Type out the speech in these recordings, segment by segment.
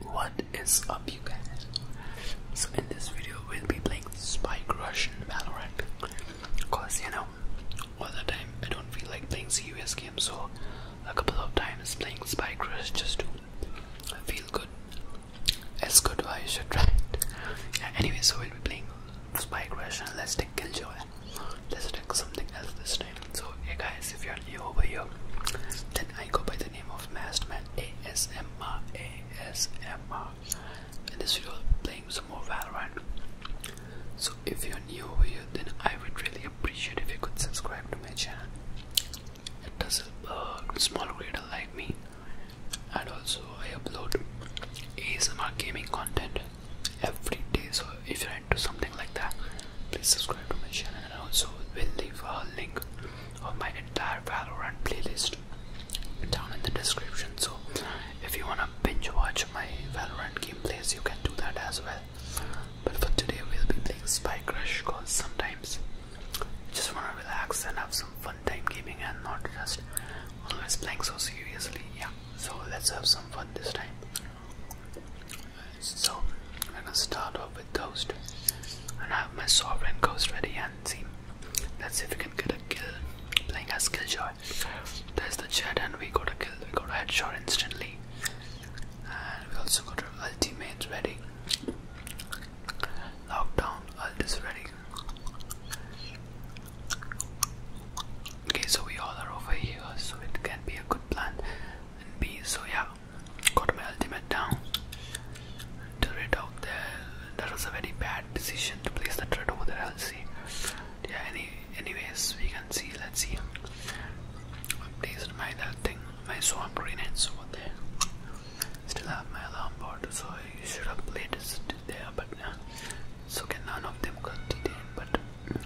What is up you guys? So in this video we'll be playing Spike Rush and Valorant Cause you know, all the time I don't feel like playing serious games so a couple of times playing Spike Rush just to feel good It's good why you should try it Anyway so we'll be playing Spike Rush and let's take Killjoy Let's take something else this time So hey guys if you're new over here then I go by the name of Maskman ASMR ASMR. In this video, playing some more Valorant. So if you're new over here, then I would really appreciate if you could subscribe to my channel. It does help a uh, small creator like me, and also I upload ASMR gaming content every day. So if you're into something like that, Please subscribe to my channel and also we will leave a link of my entire Valorant playlist down in the description. So if you wanna binge watch my Valorant gameplays, you can do that as well. But for today, we'll be playing Spy Crush because sometimes just wanna relax and have some fun time gaming and not just always playing so seriously. Yeah. So let's have some fun this time. So I'm gonna start off with Ghost. And I have my Sovereign Ghost ready and see. Let's see if we can get a kill playing as Killjoy. There's the Jet and we got a kill, we got a headshot instantly. And we also got our ultimates ready. Lockdown ult is ready. Okay, so we all are over here, so it can be a good plan and B. So, yeah, got my ultimate down. To rid out there, that was a very bad decision to place the turret over there. i see. Yeah. Any, anyways, we can see. Let's see. I placed my that thing, my swamp grenades over there. Still have my alarm board, so I should have placed it there, but so can none of them got detained. But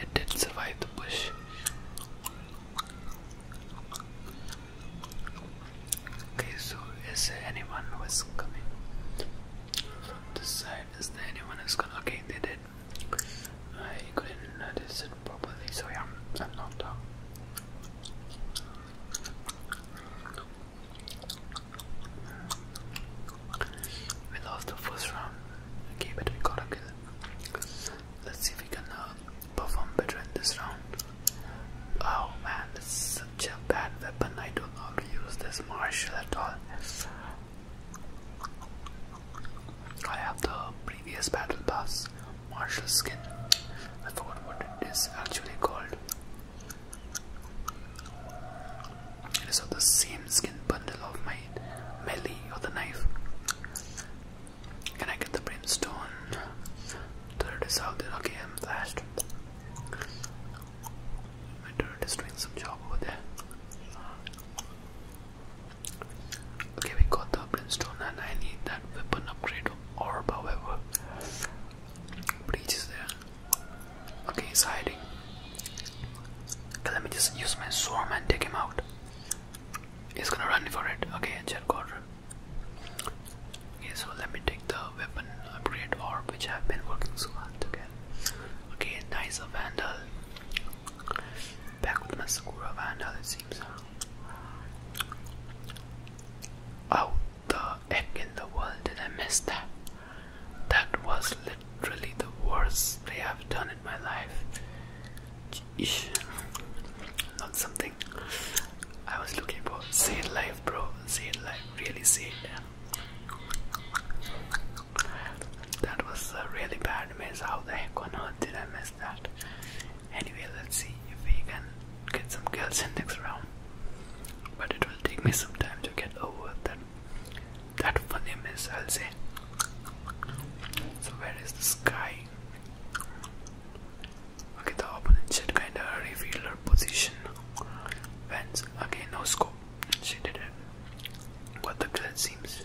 it did survive the push. Okay, so is there anyone who is coming from this side? Is there anyone who's going Okay, they did. I couldn't notice it properly, so yeah, I'm knocked out. We lost the first round. Okay, but we got a kill. Let's see if we can uh, perform better in this round. Oh man, it's such a bad weapon. I don't normally use this martial at all. I have the previous battle pass martial skin. I what it is actually called. It is of the same skin bundle of my melee or the knife. Can I get the brimstone? Turret is out there. Okay, I'm flashed. My turret is doing some job over there. Okay, we got the brimstone, and I need that weapon upgrade or however. Breach is there. Okay, he's hiding. let me just use my swarm and take him out. He's gonna run for it. Okay, Jet Quarter. Okay, so let me take the weapon upgrade orb which I've been working so hard to get. Okay, nice a vandal. Back with my Sakura vandal it seems. How the heck in the world did I miss that? That was literally the worst play i have done my life. Jeez. Not something I was looking for. Say it bro. Say it Really say That was a really bad miss. How the heck on earth did I miss that? Anyway, let's see if we can get some girls in next round. But it will take me some time to get over that that funny miss I'll say. So where is the sky? Okay, the opponent should kinda reveal her position. Vance, okay, no scope. She did it. What the glitch seems.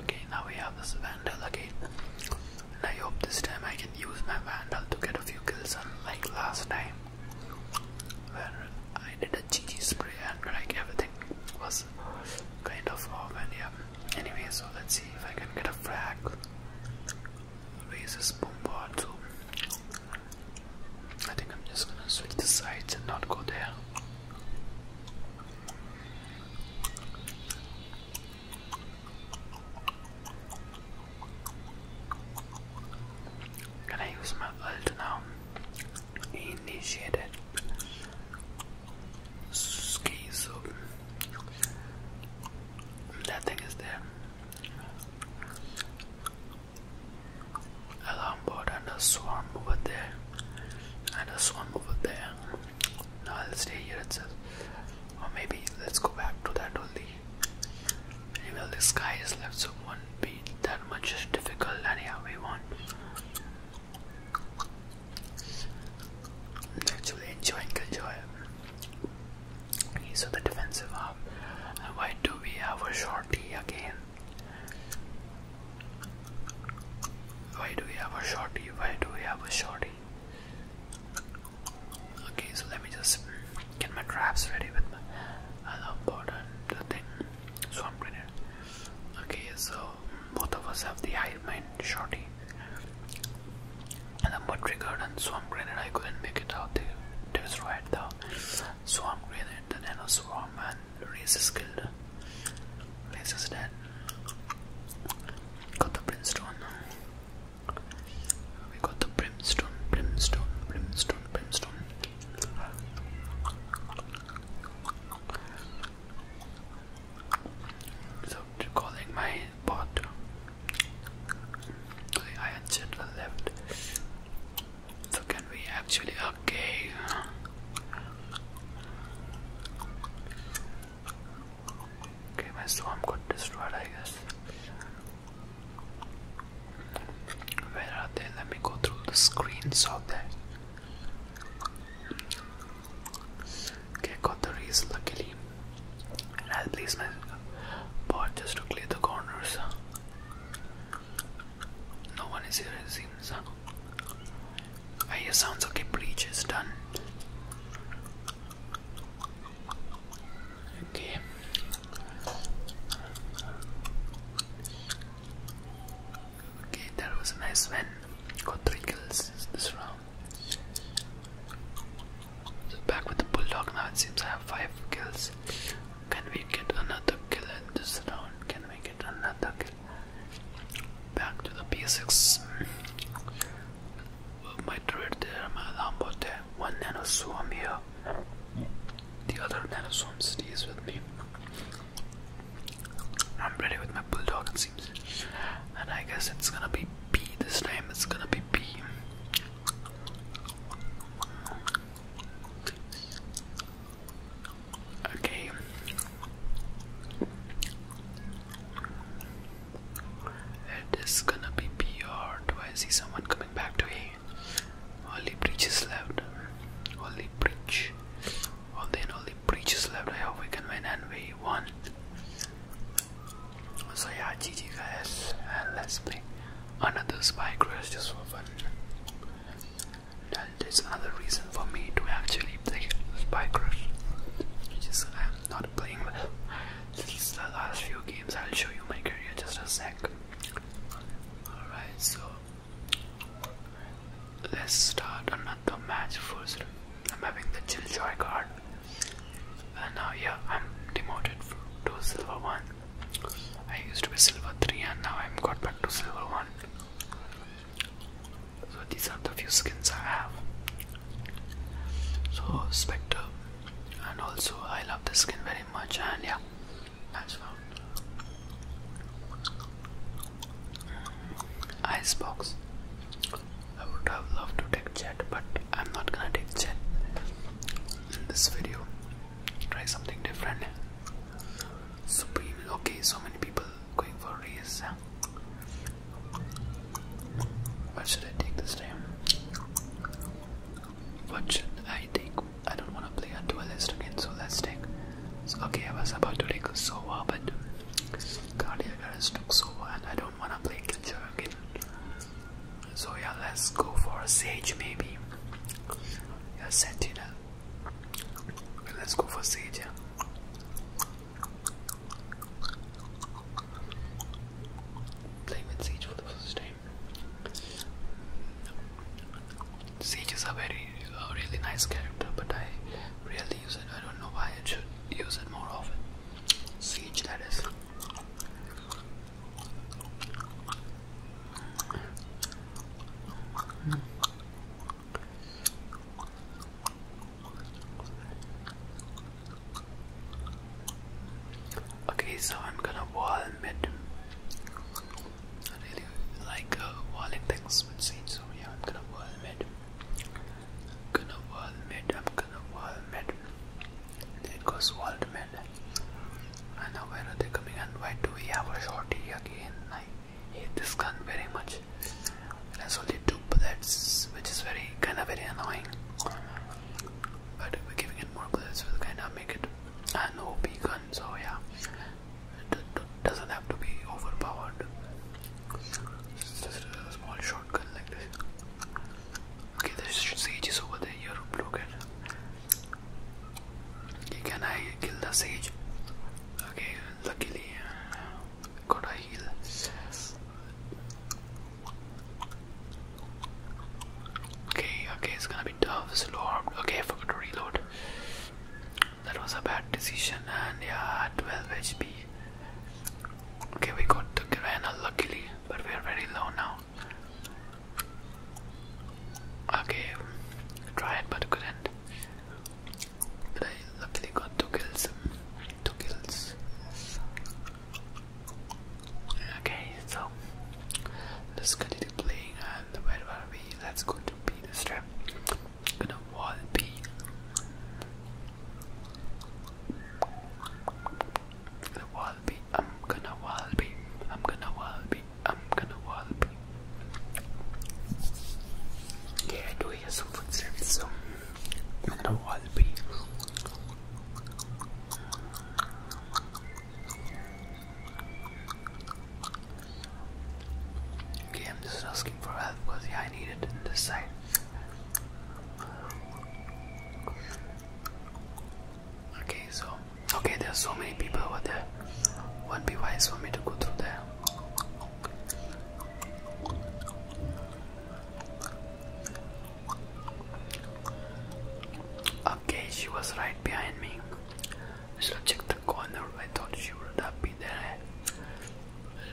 Okay, now we have the vandal again. I hope this time I can use my vandal to get a few kills unlike last time where I did a GG spray and like everything was kind of off and yeah. Anyway, so let's see if I can get a frag. Raises bombard too. I think I'm just gonna switch the sides and not go there. I'm gonna use my ult now. Initiated. Ski so that thing is there. Alarm board and a swarm over there. And a swarm over there. Now I'll stay here itself. Or maybe let's go back to that only well, this guy is left, so won't be that much difficult. And we want Actually, enjoying Killjoy. Okay, so the defensive half. why do we have a shorty again? Why do we have a shorty? Why do we have a shorty? Okay, so let me just get my traps ready with my other The thing. Swamp grenade. Okay, so both of us have the high mind shorty. And the mud triggered and swamp grenade. I couldn't make it out. They destroyed the swamp grenade, the nano swarm, and Race is killed. Race is dead. Got the brimstone. We got the brimstone, brimstone, brimstone, brimstone. So calling my bot. I answered left. So can we actually okay? Okay, my swarm got destroyed I guess. Where are they? Let me go through the screens of that. Okay, got the reason. luckily. I'll place my bot just to clear the corners. No one is here, it seems. I hear sounds okay, breach is done. Okay. Okay, that was a nice one. Got three kills this round. back with the bulldog now. It seems I have five kills. Can we get another kill in this round? Can we get another kill? Back to the P6. My druid there, uh, my lambo there, uh, one nano swarm here the other nanoswarm stays with me. I'm ready with my bulldog, it seems. And I guess it's gonna be B this time, it's gonna be B. Okay. It is gonna be B or do I see someone coming back to A? Only bridge is left. Only bridge. Well then only bridge is left. I hope we can win and we won. So yeah, GG guys and let's play another spike rush just for fun. And there's another reason for me to actually play spy crash. Just I'm not playing well. Since the last few games I'll show you my career just a sec. Alright, so let's start another match first. I'm having the Chill Joy card. And now, yeah, I'm demoted to Silver 1. I used to be Silver 3 and now I'm got back to Silver 1. So these are the few skins I have. So Spectre and also I love this skin very much much, and yeah, Icebox. I would have loved to take jet, but I'm not gonna take jet in this video. Try something different. Supreme. Okay, so many people going for race. Why should I take this time? What should I think I don't want to play a duelist again, so let's take. okay, I was about to take Sova, but Cardiac Arrest took Sova, and I don't want to play Killjoy again. So, yeah, let's go for a Sage maybe. Yeah, Sentinel. Let's go for Sage. Yeah. with Sage for the first time. Sage is a very, a really nice character, but I rarely use it. I don't know why I should use it more often. Siege, that is. Okay, so I'm gonna wall mid. I really like uh, walling things with Sage, so yeah, I'm gonna wall mid. gonna wall mid, I'm gonna wall mid. And it goes wall to mid. And now are they coming and why do we have a shorty again? I hate this gun very much. It only two bullets, which is very kind of very annoying but we're giving it more because this will kind of make it an OP gun, so yeah, it doesn't have to be overpowered. It's just a small shotgun like this. Okay, the sage over there. You're broken. Okay, can I kill the sage? Okay, luckily, uh, got a heal. Okay, okay, it's gonna be tough, slow armed. Okay, I forgot to reload. That was a bad decision, and yeah, 12 HP. Okay, we got the Granna luckily, but we are very low now. Okay, tried but couldn't. But I luckily got two kills. Two kills. Okay, so let's continue playing and where are we? Let's to B this time. gonna wall B. The wall i am I'm gonna wall i am I'm gonna wall i am I'm gonna wall B. Yeah, I do hear some footsteps, so I'm gonna wall be. Okay, I'm just asking for help because yeah, I need it in this side. Okay, so okay, there's so many people over there. Won't be wise for me to go through there. Okay, she was right behind me. Should checked the corner. I thought she would have been there.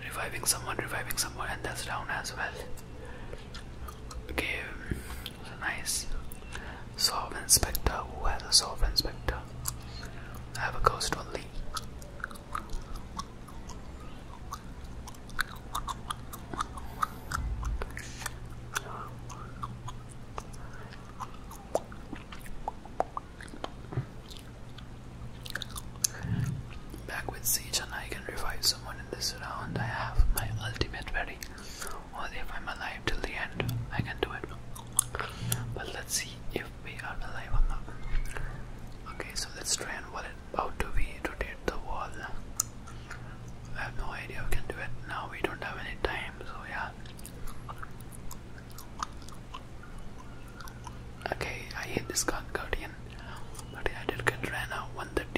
Reviving someone, reviving someone, and that's down as well. Okay, nice. Sovereign Inspector. Who has a solve, Inspector? I have a ghost only. Back with Siege and I can revive someone in this round. I have my ultimate ready. Only if I'm alive till the end, I can do it. But let's see if we are alive or not. Okay, so let's try and what it out to be today the wall. I have no idea we can do it now, we don't have any time, so yeah. Okay, I hit this guard guardian, but I did get ran 130.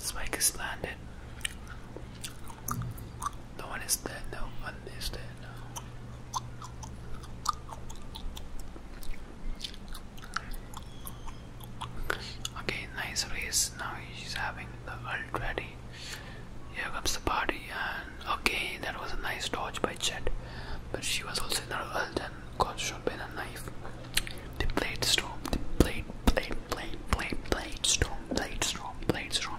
spike is landed. No one is dead, no one is dead. Okay, nice race. Now she's having the ult ready. Here comes the party, and okay, that was a nice dodge by Chet, but she was also in her ult and got shot in a knife. The blade storm, the blade, blade, blade, blade, blade storm, blade storm, blade storm.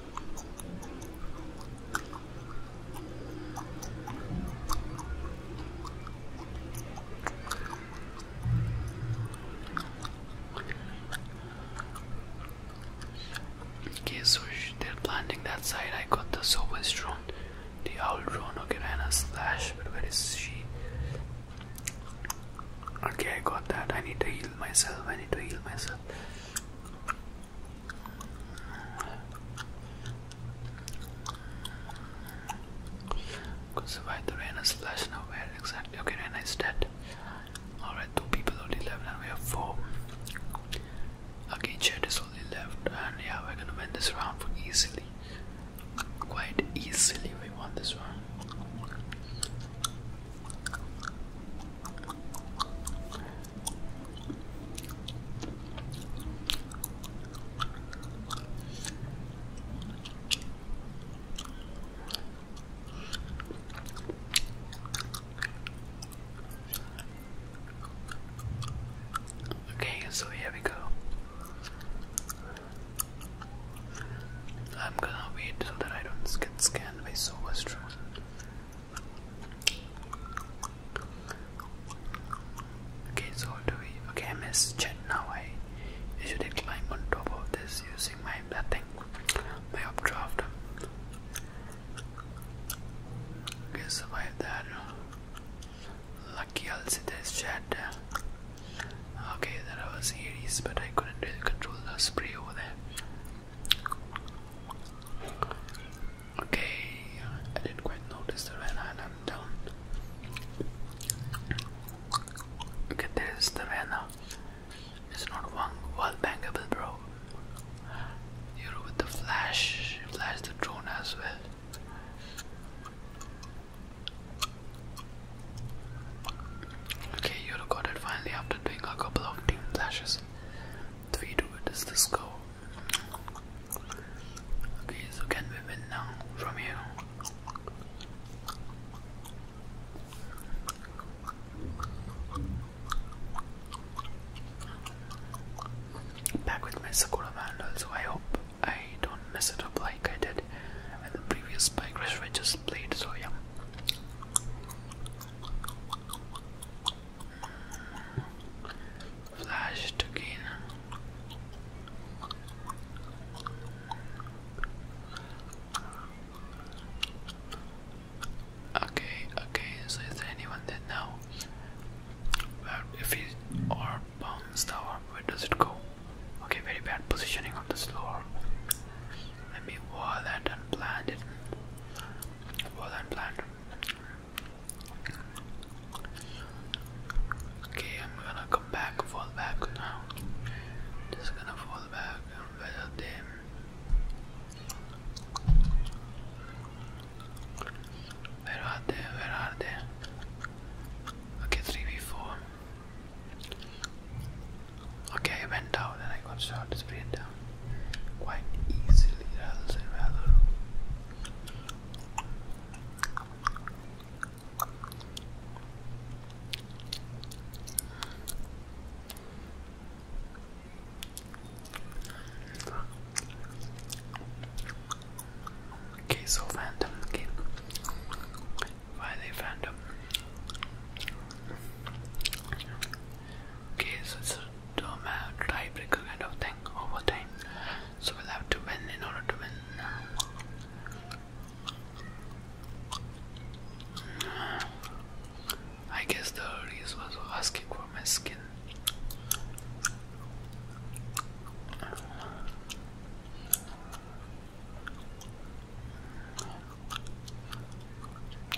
Okay, so they're planting that side. I got the super strong, the owl drone. Okay, ran a slash, but where is she? Okay, I got that. I need to heal myself. I need to heal myself. Could survive the rain and slash now exactly okay Rena is dead. Alright, two people only left and we have four. Okay, Chet is only left and yeah we're gonna win this round for easily. Quite easily we won this round. Okay, so here we go. I'm gonna wait so that I don't get scanned by so much Okay, so do we? Okay, I miss Chad, now. I usually climb on top of this using my that thing, my updraft. Okay, survive that. Lucky I'll see this Chet. Okay, that was Aries, but I couldn't really control the spray over there. Okay, I didn't quite notice the Van Island down. Look at this, the Vanna. It's not one wall bangable, bro. You're with the flash, flash the drone as well. Okay, you recorded finally after doing a couple of team flashes three to it is This score. Okay, so can we win now from here? Back with my Sakura Vandal, so I hope I don't mess it up like I did in the previous Spike Rush I just played, so yeah. Flash to gain. Okay, okay, so is there anyone that now? Well, if he or bombs the where does it go? Okay, very bad positioning of this floor. Let me wall that and plant it. Okay, I'm gonna come back, fall back now. Just gonna fall back and weather them. Where are they? Where are they? Okay, 3 v Okay, I went down and I got shot sprayed down quite easily Okay, so phantom again. Why are phantom? Okay, so it's a tiebreaker kind of thing over time. So we'll have to win in order to win. I guess the Reese was asking for my skin.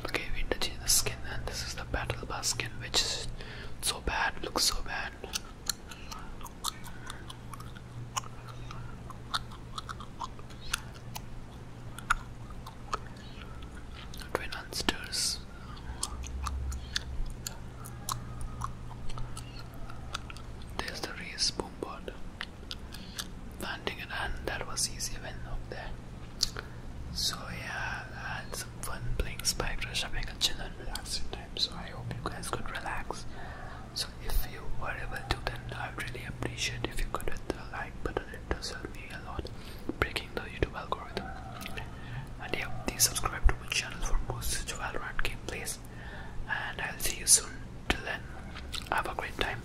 Okay, we need the skin, and this is the battle bus skin, which is so bad, looks so bad. Twin monsters. There's the race boom board landing it, and that was easy when up there. So yeah, I had some fun playing Spike Rush, having a chill and relaxing time. So I hope you guys could relax. So if you were able to, then I would really appreciate if you could hit the like button. It does help me a lot, breaking the YouTube algorithm. And yeah, please subscribe to my channel for more such Valorant gameplays. And I'll see you soon. Till then, have a great time.